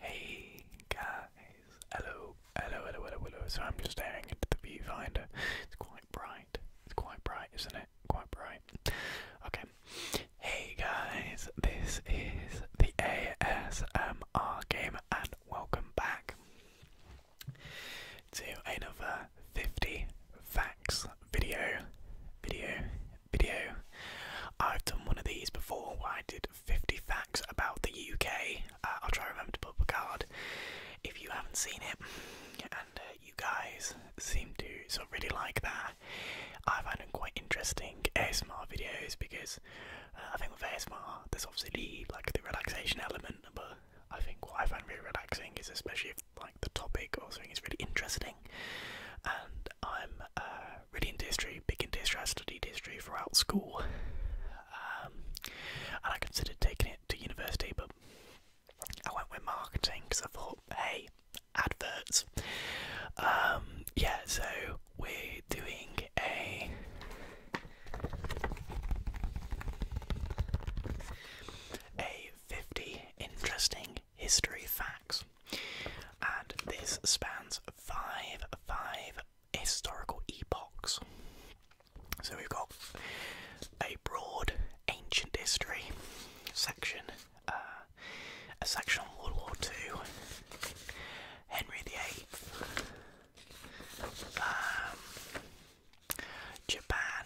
Hey guys, hello, hello, hello, hello, hello. So I'm just staring into the viewfinder. It's quite bright. It's quite bright, isn't it? Quite bright. Okay. Hey guys, this is the ASMR game, and welcome back to another 50 facts video video video i've done one of these before where i did 50 facts about the uk uh, i'll try to remember to put a card if you haven't seen it and uh, you guys seem to sort of really like that i find them quite interesting asmr videos because uh, i think with asmr there's obviously like the relaxation element but I think what I find really relaxing is especially if like the topic or something is really interesting, and I'm uh, really into history, big into history. I studied history throughout school, um, and I considered taking it to university, but I went with marketing because I thought, hey, adverts. Um, yeah, so we're doing a. A 50 interesting history facts. And this spans five, five historical epochs. So we've got a broad ancient history section, uh, a section on World War Two, Henry VIII, um, Japan,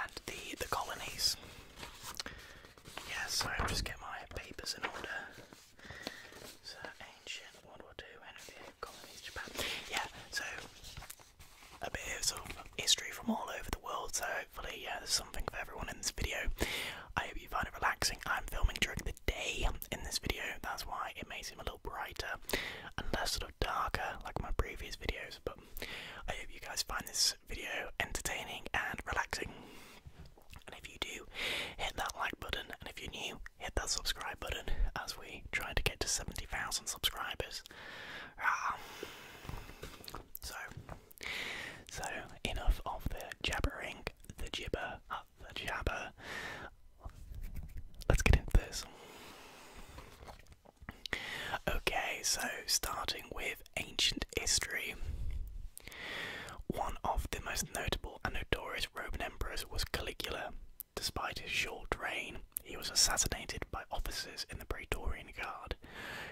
and the the colonies. Yeah, so I'll just get my papers in order. So ancient World War Two, II, Henry of colonies, Japan. Yeah, so a bit of sort of history from all over the world. So hopefully, yeah, there's something for everyone in this video. I hope you find it relaxing. I'm filming during the day in this video. That's why it may seem a little brighter and less darker like my previous videos, but I hope you guys find this video entertaining and relaxing. And if you do, hit that like button, and if you're new, hit that subscribe button as we try to get to 70,000 subscribers. Ah. So, so enough of the jabbering, the gibber, uh, the jabber. Let's get into this. Okay, so starting with ancient history. One of the most notable and notorious Roman emperors was Caligula. Despite his short reign, he was assassinated by officers in the Praetorian Guard.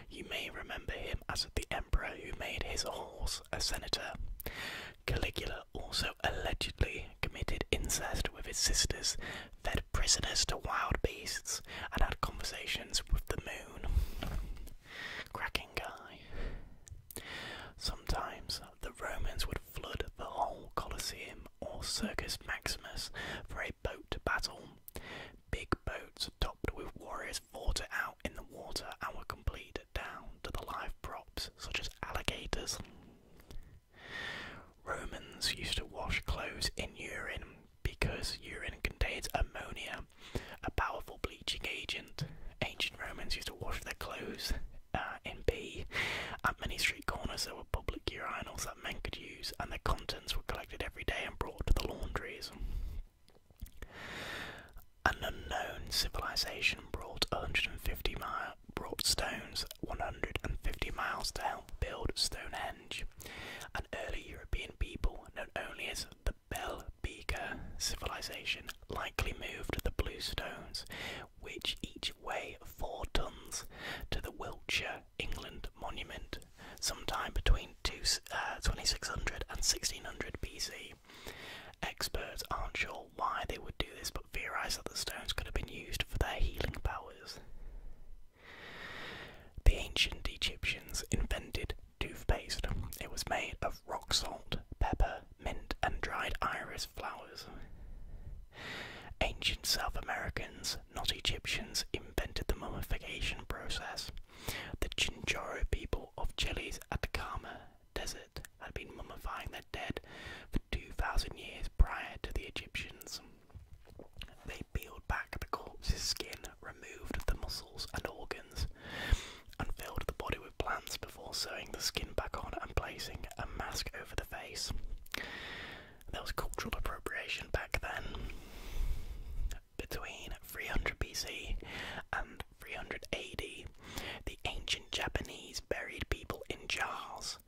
You may remember him as the emperor who made his horse a senator. Caligula also allegedly committed incest with his sisters, fed prisoners to wild beasts, and had conversations with the moon. Cracking guy. Sometimes the Romans would flood the whole Colosseum or Circus Maximus for a boat battle. Big boats topped with warriors fought it out in the water and were complete down to the live props such as alligators. Romans used to wash clothes in urine because urine contains ammonia, a powerful bleaching agent. Ancient Romans used to wash their clothes uh, in pee. At many street corners, there were public urinals that men could use, and their contents were collected every day and brought to the laundries. An unknown civilization brought 150 mi brought stones 150 miles to help build Stonehenge. An early European people, known only as the Bell Beaker civilization, likely moved the blue stones, which each weigh four tons, to the Wiltshire, England monument, sometime between two, uh, 2600 and 1600 BC. Experts aren't sure why they would do this, but theorise that the stones could have been used for their healing powers. The ancient Egyptians invented toothpaste. It was made of rock salt, pepper, mint, and dried iris flowers. Ancient South Americans, not Egyptians, invented the mummification process. The Chinchorro people of Chile's Atacama Desert had been mummifying their dead for 2,000 years prior to the Egyptians. They peeled back the corpse's skin, removed the muscles and organs, and filled the body with plants before sewing the skin back on and placing a mask over the face. There was cultural appropriation back then. Between 300 BC and 300 AD, the ancient Japanese buried people in jars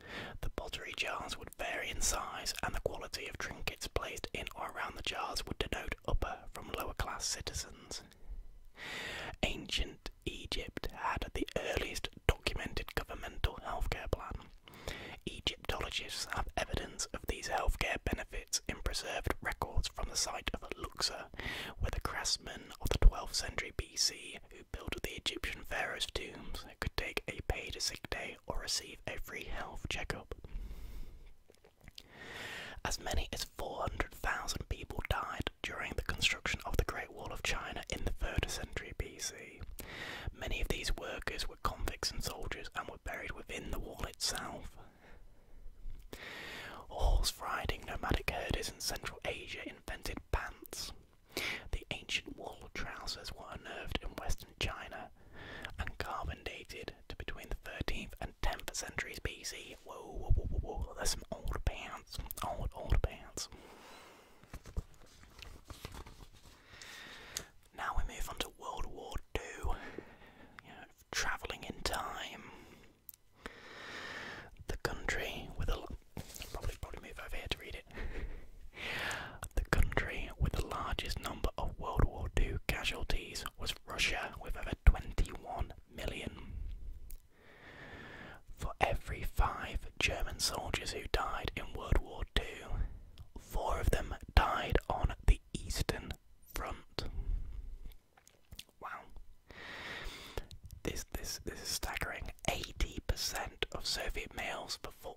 the pottery jars would vary in size, and the quality of trinkets placed in or around the jars would denote upper from lower class citizens. Ancient Egypt had the earliest documented governmental healthcare plan. Egyptologists have evidence of these healthcare benefits in preserved records from the site of Luxor, where the craftsmen of the 12th century BC who built the Egyptian pharaoh's tombs could take a paid sick day or receive a free health checkup. As many as 400,000 people died during the construction of the Great Wall of China in the 3rd century BC. Many of these workers were convicts and soldiers and were buried within the wall itself. Horse riding nomadic herders in Central Asia invented pants, the ancient wool trousers were unearthed in western China and carbon dated to between the 13th and 10th centuries BC. Whoa, whoa, whoa, whoa, whoa, there's some old pants. Old, old pants. Now we move on to World War II. travelling in time. The country with a Probably, probably move over here to read it. the country with the largest number of World War II casualties was Russia, with over 21 million. For every five German soldiers who died in World War II, four of them died on the Eastern Front. Wow. This this this is staggering. Eighty percent of Soviet males before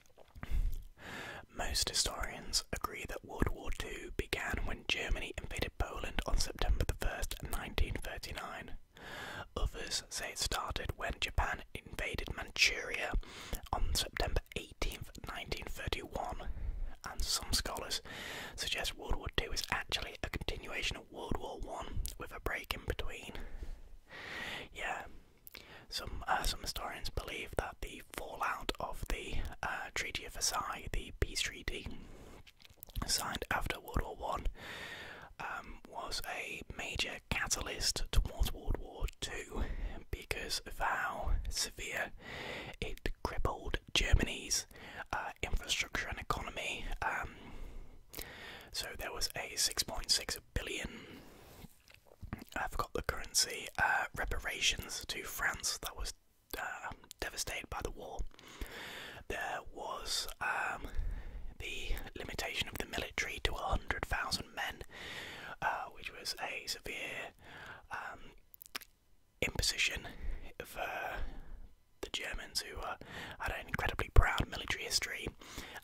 Most historians agree that World War II began when Germany invaded Poland on September 1st, 1939. Others say it started when Japan invaded Manchuria on September 18th, 1931, and some scholars suggest World War II is actually a continuation of World War I with a break in between. Yeah, some uh, some historians believe that the fallout of the uh, Treaty of Versailles, the peace treaty signed after World War One, um, was a major catalyst towards World War Two because of how severe it crippled Germany's uh, infrastructure and economy. Um, so there was a 6.6 I forgot the currency. Uh, reparations to France that was uh, devastated by the war. There was um, the limitation of the military to 100,000 men, uh, which was a severe um, imposition for the Germans, who had an incredibly proud military history.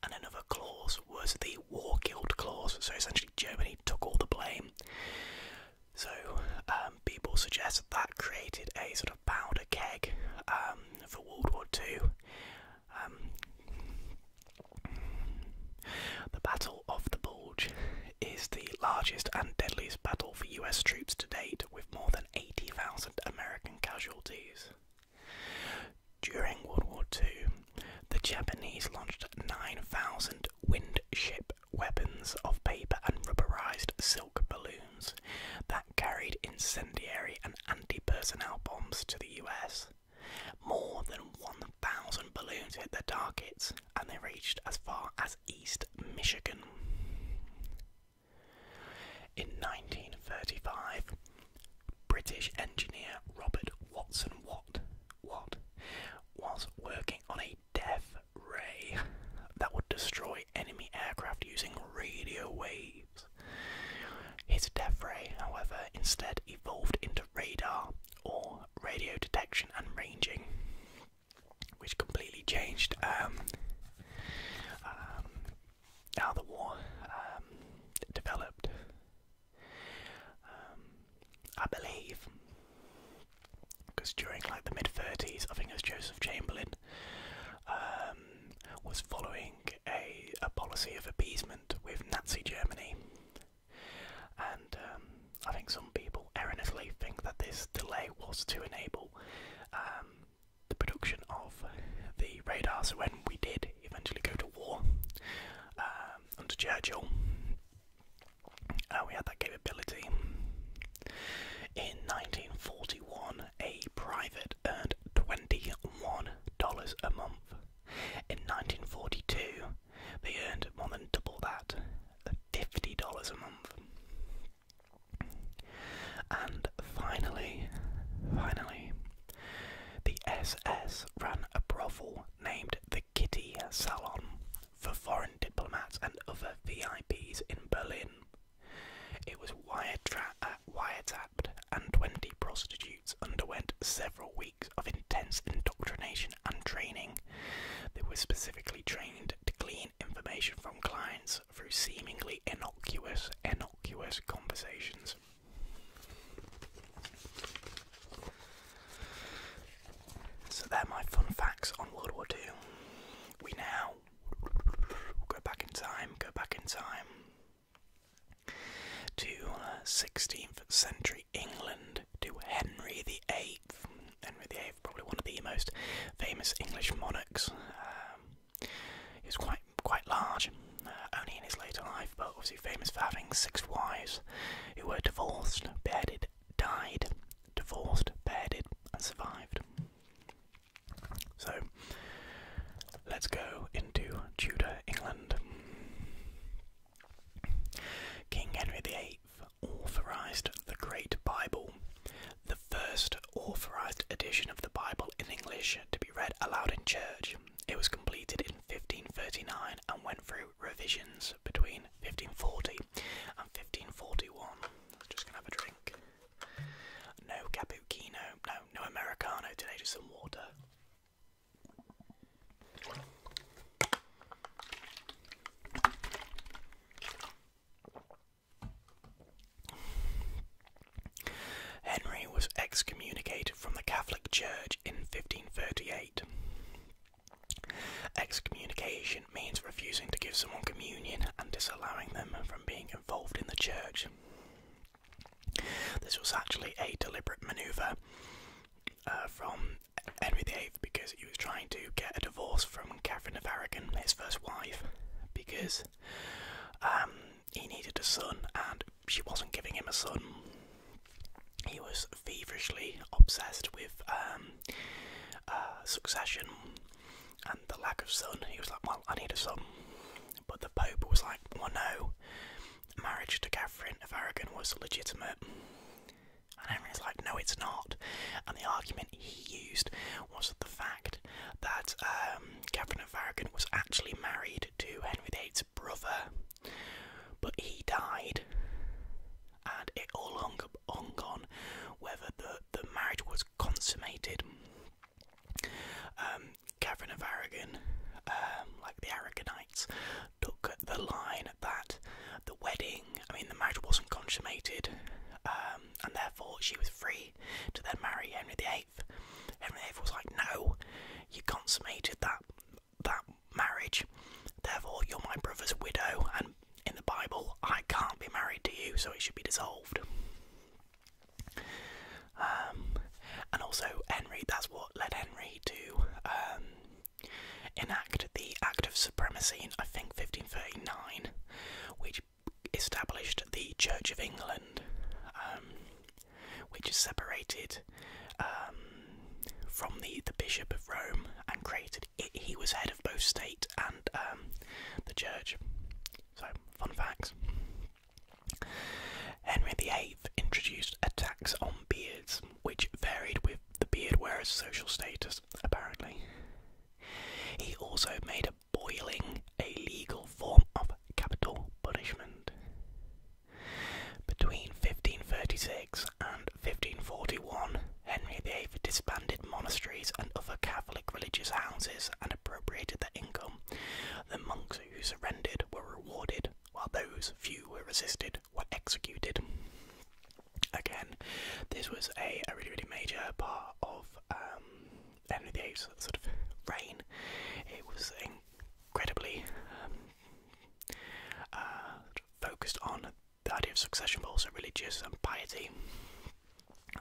And another clause was the war guilt clause, so essentially Germany took all the blame. So um, people suggest that, that created a sort of powder keg um, for World War II. Um, the Battle of the Bulge is the largest and deadliest battle for US troops to date, with more than 80,000 American casualties. During World War II, the Japanese launched 9,000 windship weapons of paper and rubberized silk balloons that carried incendiary and anti personnel bombs to the US. More than 1,000 balloons hit their targets and they reached as far as East Michigan. In 1935, British engineer Robert Watson Watt, was working on a death ray that would destroy enemy aircraft using radio waves. His death ray, however, instead evolved into radar or radio detection and ranging, which completely changed um, um, how the war um, developed. Um, I believe, because during like the mid 30s, I think it was Joseph Chamberlain um, was following a, a policy of appeasement with Nazi Germany, and um, I think some people erroneously think that this delay was to enable the production of the radar. So when we did eventually go to war um, under Churchill. Uh, we had that capability. In 1941, a private earned $21 a month. In 1942, they earned more than double that, uh, $50 a month. And finally, finally, the SS ran a brothel named the Kitty Salon for foreign diplomats and other VIPs in Berlin. It was uh, wiretapped, and 20 prostitutes underwent several weeks of intense indoctrination and training. They were specifically trained to glean information from clients through seemingly innocuous, conversations. So they're my fun facts on World War II. We now go back in time, go back in time to 16th uh, century England to Henry VIII. Henry VIII, probably one of the most famous English monarchs. Um, he was quite quite large, uh, only in his later life, but obviously famous for having six wives who were divorced, beheaded, died, divorced, beheaded, and survived. So let's go into Tudor England. King Henry VIII authorised the Great Bible, the first authorised edition of the Bible in English to be read aloud in church. It was completed in 1539 and went through revisions between 1540 and 1541. just gonna have a drink. No cappuccino, no, no Americano today, just some water. Henry was excommunicated from the Catholic Church in 1538. Excommunication means refusing to give someone communion and disallowing them from being involved in the church. This was actually a deliberate manoeuvre uh, from Henry VIII because he was trying to get a divorce from Catherine of Aragon, his first wife, because um, he needed a son, and she wasn't giving him a son. He was feverishly obsessed with um, uh, succession and the lack of son. He was like, Well, I need a son. But the Pope was like, Well, no, marriage to Catherine of Aragon was legitimate. And Henry's like, No, it's not. And the argument he used was the fact that um, Catherine of Aragon was actually married to Henry VIII's brother, but he died, and it all hung, hung on whether the, the marriage was consummated. Catherine um, of Aragon, um, like the Aragonites, took the line that the wedding, I mean, the marriage wasn't consummated, um, and therefore she was free to then marry Henry VIII. VIII. Henry was like, no, you consummated that that marriage. Therefore, you're my brother's widow, and in the Bible, I can't be married to you, so it should be dissolved. Um, and also, Henry, that's what led Henry to um, enact the Act of Supremacy in, I think, 1539, which established the Church of England. Um, which is separated um, from the, the Bishop of Rome and created. he was head of both state and um, the church. So, fun facts. Henry VIII introduced a tax on beards, which varied with the beard wearer's social status, apparently. He also made a boiling a legal form of capital punishment. Between 1536 and 1541, Henry VIII disbanded monasteries and other Catholic religious houses and appropriated their income. The monks who surrendered were rewarded, while those few who resisted were executed. Again, this was a, really, really major part of um, the VIII sort of reign, it was incredibly um, uh, focused on the idea of succession, but also religious and piety.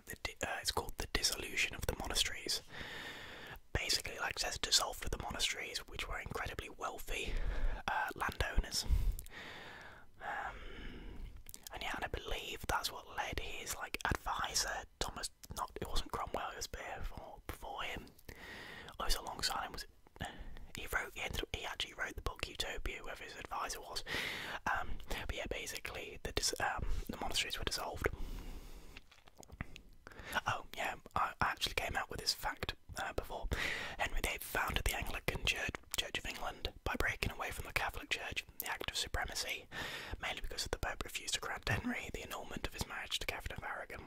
Uh, it's called the dissolution of the monasteries. Basically, like says, dissolved the monasteries, which were incredibly wealthy uh, landowners. Um, and yeah, and I believe that's what led his like advisor Thomas, not it wasn't Cromwell, it was before, before him. I was alongside him. Was it? He wrote. He ended up. He actually wrote the book Utopia, whoever his advisor was. Um, but yeah, basically the um, the monasteries were dissolved. Oh yeah, I, actually came out with this fact uh, before. Henry VIII founded the Anglican Church, Church of England by breaking away from the Catholic Church the Act of Supremacy, mainly because the Pope refused to grant Henry the annulment of his marriage to Catherine of Aragon.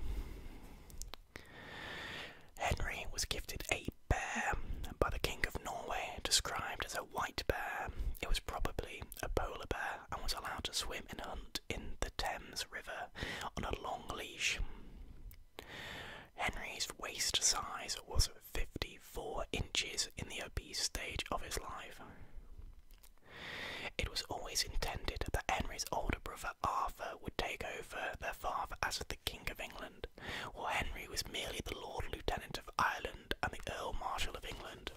Henry was gifted a bear by the King of Norway, described as a white bear. It was probably a polar bear and was allowed to swim and hunt in the Thames River on a long leash. Henry's waist size was 54 inches in the obese stage of his life. It was always intended that Henry's older brother Arthur would take over their father as the King of England, while Henry was merely the Lord Lieutenant of Ireland and the Earl Marshal of England.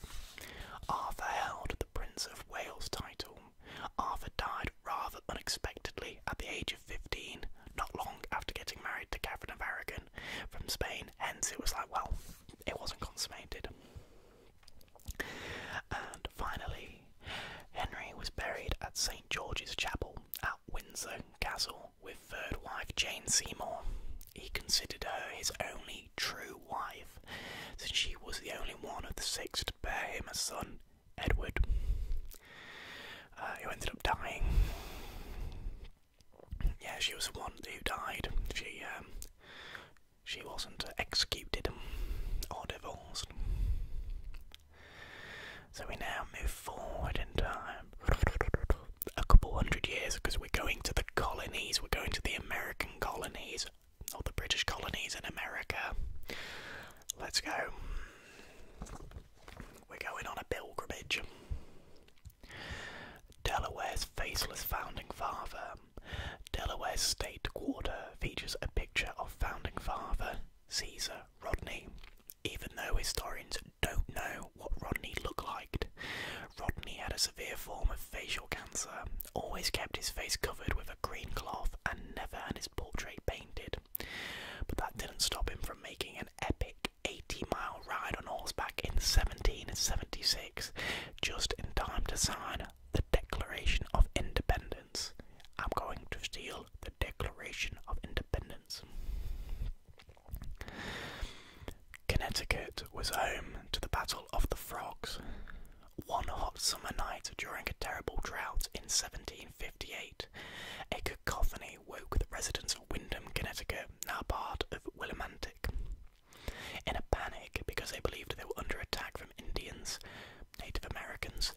Arthur held the Prince of Wales title. Arthur died rather unexpectedly at the age of 15, not long after getting married to Catherine of Aragon from Spain, hence it was like, well, it wasn't consummated. And finally, Henry was buried at St George's Chapel at Windsor Castle with third wife Jane Seymour. He considered her his only true wife, since she was the only one of the six to bear him a son, Edward, uh, who ended up dying yeah, she was the one who died. She um, she wasn't executed or divorced. So we now move forward in time a couple hundred years because we're going to the colonies, we're going to the American colonies, or the British colonies in America. Let's go. We're going on a pilgrimage. Delaware's faceless founding father. Delaware's state quarter features a picture of founding father Caesar Rodney. Even though historians don't know what Rodney looked like, Rodney had a severe form of facial cancer, always kept his face covered with a green cloth, and never had his portrait painted. But that didn't stop him from making an epic 80 mile ride on horseback in 1776 just in time to sign the Declaration of Independence. I'm going to steal the Declaration of Independence. Connecticut was home to the Battle of the Frogs. One hot summer night during a terrible drought in 1758, a cacophony woke the residents of Windham, Connecticut, now part of Willimantic. In a panic because they believed they were under attack from Indians, Native Americans,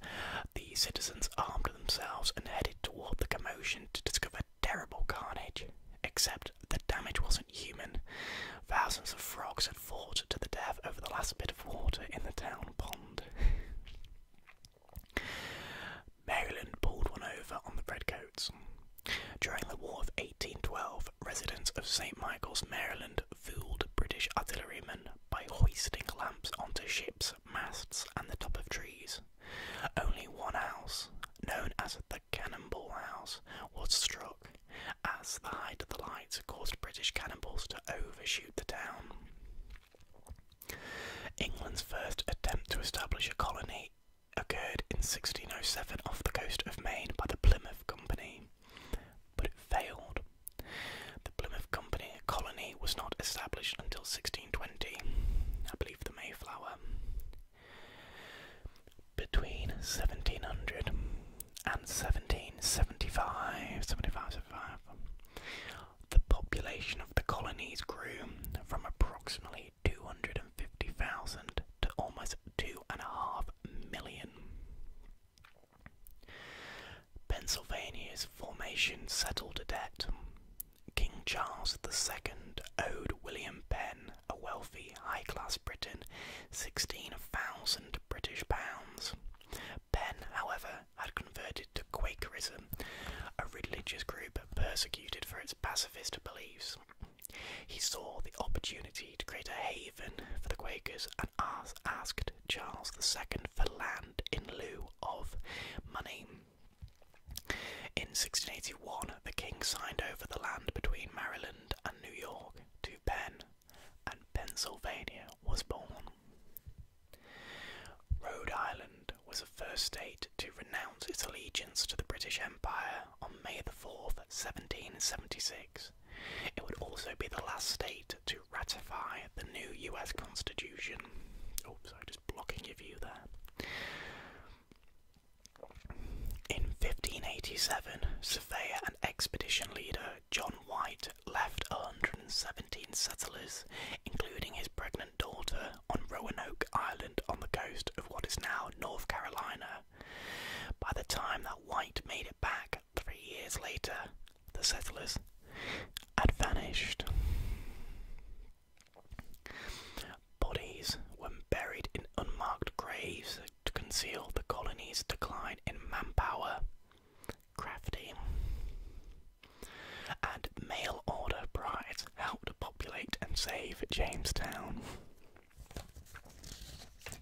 the citizens armed themselves and headed toward the commotion to discover terrible carnage. Except the damage wasn't human. Thousands of frogs had fought to the death over the last bit of water in the town pond. Maryland pulled one over on the redcoats. During the War of 1812, residents of St. Michael's, Maryland, fooled British artillerymen by hoisting lamps onto ships, masts, and the top of trees. Only one house, known as the Cannonball House, was struck, as the height of the lights caused British cannonballs to overshoot the town. England's first attempt to establish a colony occurred in 1607 off the coast of Maine by the Plymouth Company, but it failed. The Plymouth Company colony was not established until 1620, I believe the Mayflower. Between 1700 and 1775, 75, 75, the population of the colonies grew from approximately 250,000 to almost 2.5 million. Pennsylvania's formation settled a debt. King Charles II owed William Penn, a wealthy high class Briton, 16,000 British pounds. Penn, however, had converted to Quakerism, a religious group persecuted for its pacifist beliefs. He saw the opportunity to create a haven for the Quakers and asked Charles II for land in lieu of money. In 1681, the king signed over the land between Maryland and New York to Penn, and Pennsylvania was born. Rhode Island was a first state to renounce its allegiance to the British Empire on May 4, 1776. It would also be the last state to ratify the new US Constitution. Oops, oh, I'm just blocking your view there. In 1587, surveyor and expedition leader John White left 117 settlers, including his pregnant daughter on Roanoke Island on the coast of what is now North Carolina. By the time that White made it back three years later, the settlers had vanished. Bodies were buried in unmarked graves to conceal the colony's decline in manpower. Crafty. And mail order brides Help to populate and save Jamestown.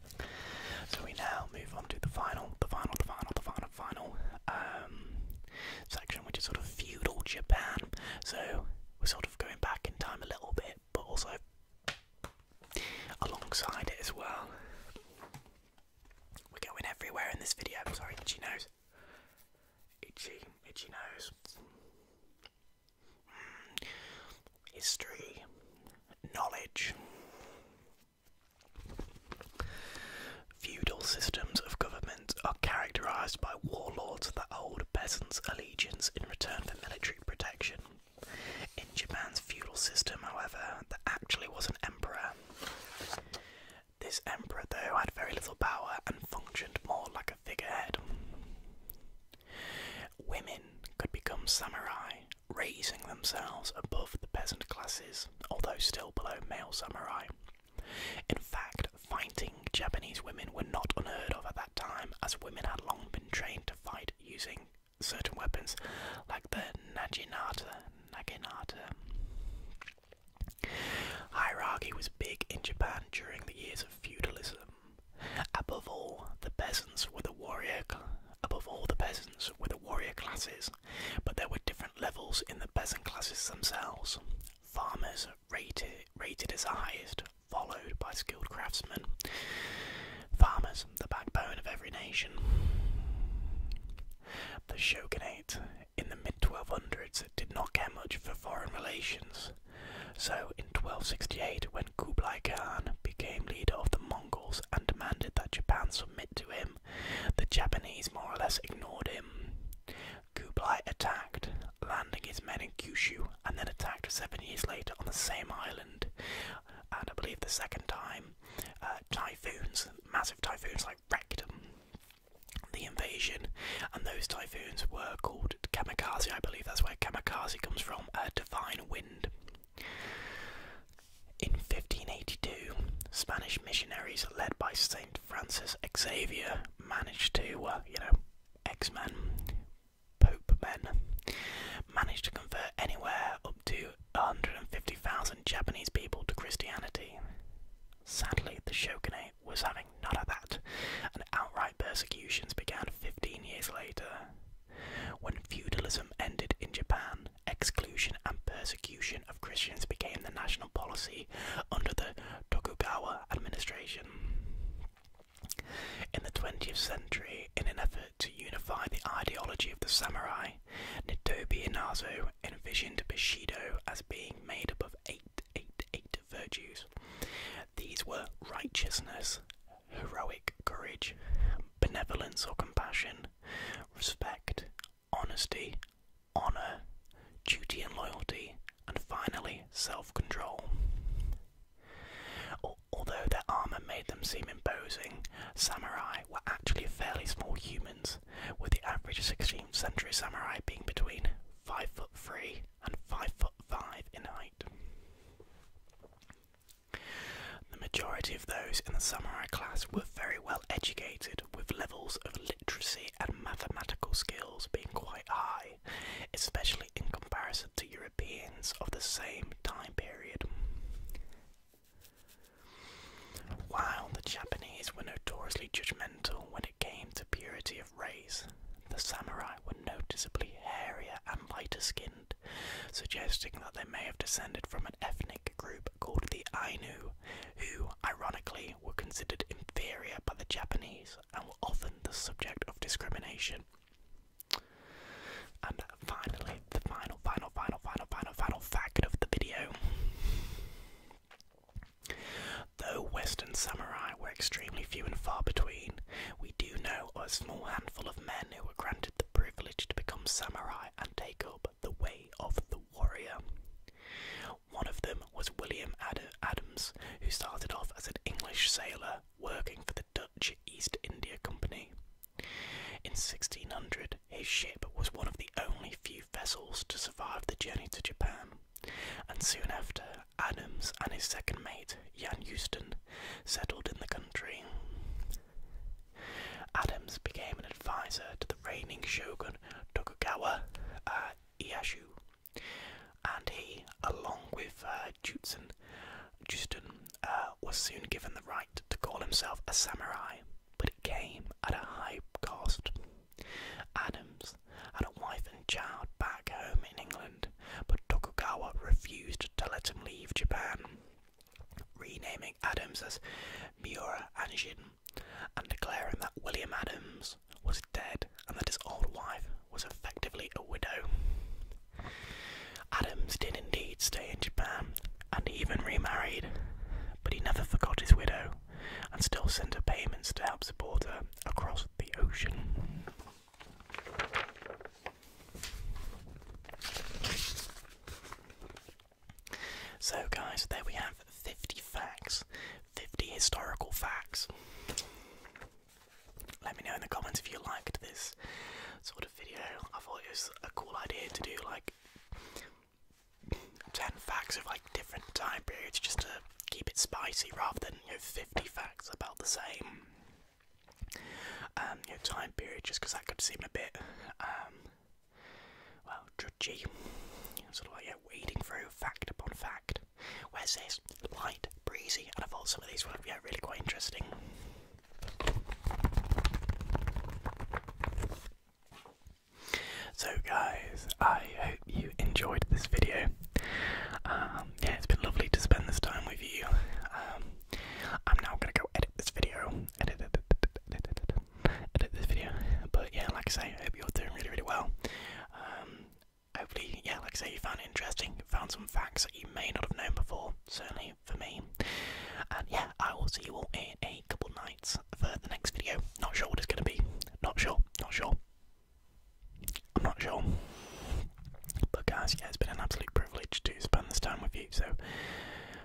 So we now move on to the final, the final, the final, the final, final um, section, which is sort of feudal Japan. So we're sort of going back in time a little bit, but also alongside it as well. We're going everywhere in this video. I'm sorry, itchy nose. Itchy, itchy nose history, knowledge. Feudal systems of government are characterized by warlords that hold peasants' allegiance in return for military protection. In Japan's feudal system, however, there actually was an emperor. This emperor, though, had very little power and functioned more like a figurehead. Women could become samurai, raising themselves above the peasant classes, although still below male samurai. In fact, fighting Japanese women were not unheard of at that time, as women had long been trained to fight using certain weapons like the naginata. naginata. Hierarchy was big in Japan during the years of feudalism. Above all, the peasants were the warrior. Above all, the peasants were the warrior classes, but there were different levels in the peasant classes themselves. Farmers, rated, as highest, followed by skilled craftsmen. Farmers, the backbone of every nation. The shogunate in the mid 1200s did not care much for foreign relations, so, in 1268, when Kublai Khan became leader of the Mongols and demanded that Japan submit to him, the Japanese more or less ignored him. Kublai attacked, landing his men in Kyushu, and then attacked seven years later on the same island. And I believe the second time, uh, typhoons, massive typhoons like wrecked them the invasion, and those typhoons were called kamikaze. I believe that's where kamikaze comes from, a divine wind. In 1582, Spanish missionaries led by Saint Francis Xavier managed to, uh, you know, X Men, Pope Men, managed to convert anywhere up to 150,000 Japanese people to Christianity. Sadly, the shogunate was having none of that, and outright persecutions began 15 years later. When feudalism ended in Japan, exclusion and persecution of Christians became the national policy under the Tokugawa administration. In the 20th century, in an effort to unify the ideology of the samurai, Nitobe Inazo envisioned Bushido as being made up of eight eight, eight, eight virtues. These were righteousness, heroic courage, benevolence or compassion, respect, honesty, honour, duty and loyalty, and finally self control. Although their armour made them seem imposing, samurai were actually fairly small humans, with the average 16th century samurai being between 5 foot 3 and 5 foot 5 in height. The majority of those in the samurai class were very well educated, with levels of literacy and mathematical skills being quite high, especially in comparison to Europeans of the same time period. While the Japanese were notoriously judgmental when came to purity of race, the samurai were noticeably hairier and lighter skinned, suggesting that they may have descended from an ethnic group called the Ainu, who, ironically, were considered inferior by the Japanese and were often the subject of discrimination. And finally, the final, final, final, final, final, final fact of the video. Though Western samurai were extremely few and far between, we do know of a small handful of men who were granted the privilege to become samurai and take up the way of the warrior. One of them was William Adams, who started off as an English sailor working for the Dutch East India Company. In 1600, his ship was one of the only few vessels to survive the journey to Japan and soon after, Adams and his second mate, Jan Houston, settled in the country. Adams became an advisor to the reigning shogun Tokugawa uh, Ieyasu, and he, along with uh, Jutsun, uh, was soon given the right to call himself a samurai, but it came at a high cost. Adams had a wife and child back home in England, but Tokugawa refused to let him leave Japan, renaming Adams as Miura Anjin and declaring that William Adams was dead and that his old wife was effectively a widow. Adams did indeed stay in Japan and even remarried, but he never forgot his widow and still send her payments to help support her across the ocean. So, guys, there we have 50 facts, 50 historical facts. Let me know in the comments if you liked this sort of video. I thought it was a cool idea to do like 10 facts of like different time periods just to keep it spicy rather than you know 50 facts about the same um, time period just because that could seem a bit um, well judgy sort of like yeah, wading through fact upon fact where's this light breezy and I thought some of these were yeah, really quite interesting so guys, I hope you enjoyed this video. Um, yeah, it's been lovely to spend this time with you. Um, I'm now gonna go edit this video. Edit, this video. But yeah, like I say, I hope you're doing really, really well. Um, hopefully, yeah, like I say, you found interesting, found some facts that you may not have known before. Certainly for me. And yeah, I will see you all in a couple nights that's for the next video. Not sure what it's going to be. Not sure. Not sure. I'm not sure. But guys, yeah, it's been an absolute privilege to spend this time with you. So,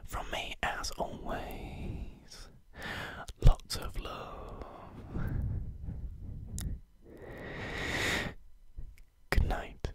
from me, as always, lots of love. Good night.